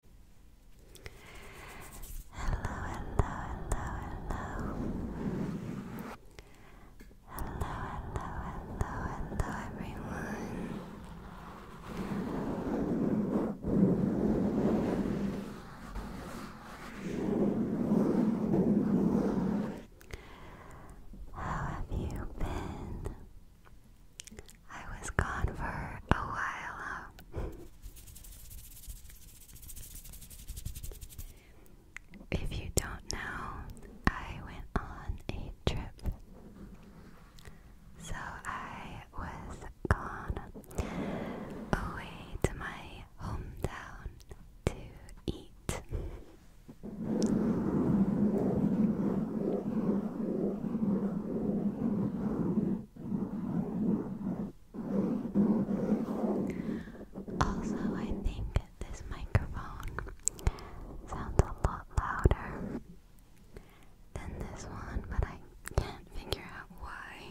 Hello, hello, hello, hello. Hello, hello, hello, hello, everyone. How have you been? I was gone for a while. if you don't know, I went on a trip. So I was gone away to my hometown to eat. Also, I think this microphone sounds a lot louder than this one, but I can't figure out why.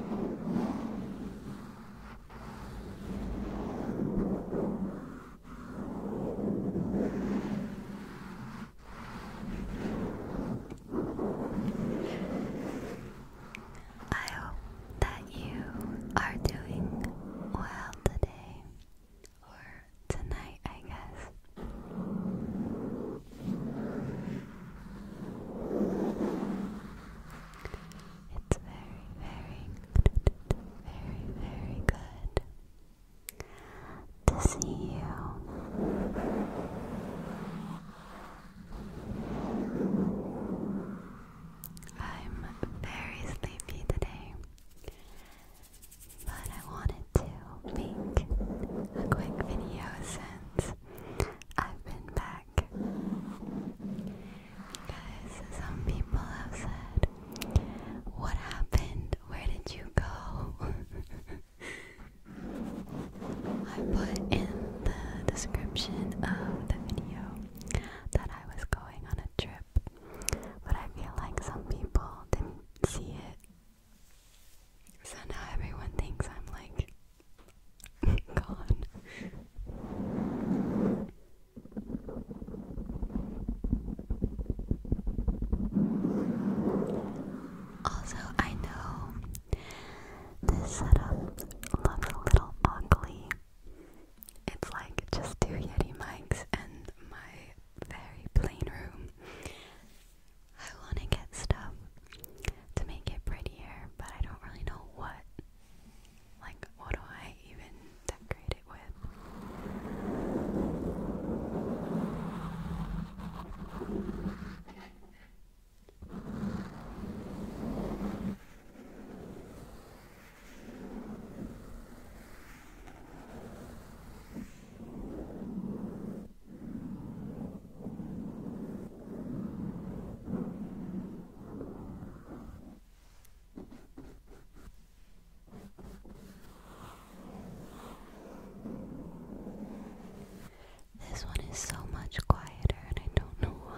I hope that you are doing well today or tonight, I guess. It's very, very, very, very good to see you. I'm very sleepy today, but I wanted to make a quick video since I've been back. Guys, some people have said, What happened? Where did you go? I put in the description of the video that I was going on a trip, but I feel like some people didn't see it so now everyone thinks I'm like gone. Also, I know this setup looks a little ugly. It's like just two Yeti mics and my very plain room. I want to get stuff to make it prettier, but I don't really know what. Like, what do I even decorate it with? This one is so much quieter, and I don't know why.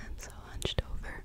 I'm so hunched over.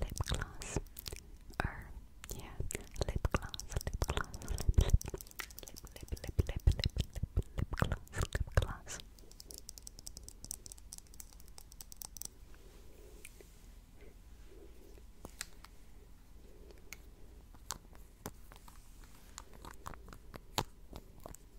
lip gloss or yeah lip gloss lip gloss lip lip lip lip lip lip gloss lip gloss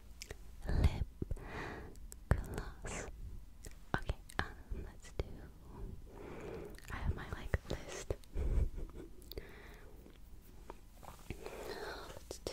lip gloss. Okay, let's do. I have my like list. let's do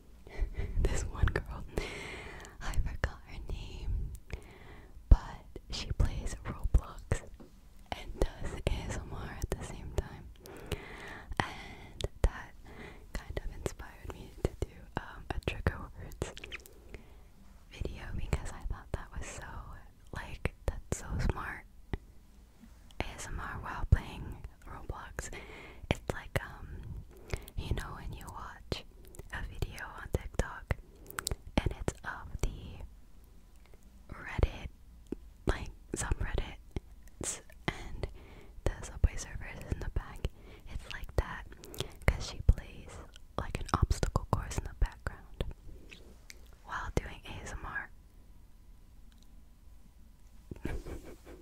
this one girl. I forgot her name, but she plays Roblox and does ASMR at the same time, and that kind of inspired me to do um, a trigger words video because I thought that was so like that's so smart. ASMR while playing Roblox, it's like um you know when you watch a video on TikTok and it's of the Reddit, like some Reddit, and the Subway Surfer is in the back. It's like that because she plays like an obstacle course in the background while doing ASMR.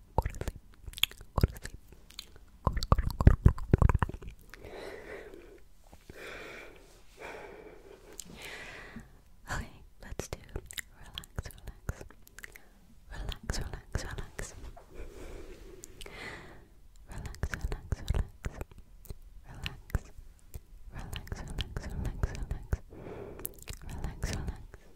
go to sleep, go to sleep, go to, go to, go to, go to, go to, go to. Okay, let's do relax, relax, relax, relax, relax, relax, relax, relax, relax, relax, relax, relax, relax, relax, relax.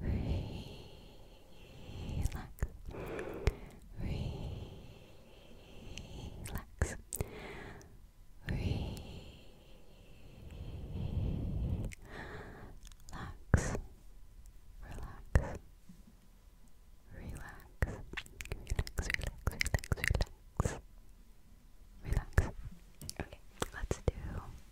relax, relax, relax. Relax, relax, relax, relax, relax. Relax. Okay, let's do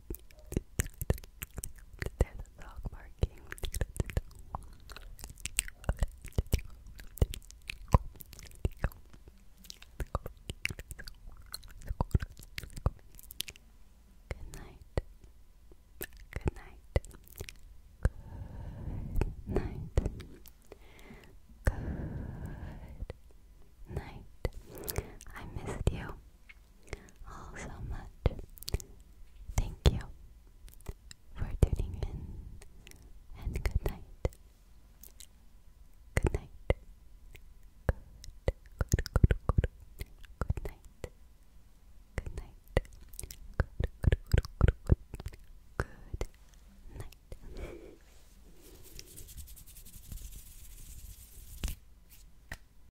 Good night. Good night. Good night. Good night. I missed you all so much. Thank you for tuning in, and good night. Good night. Good, good, good, good. Good night. Good night. Good, good, good, good, good. night.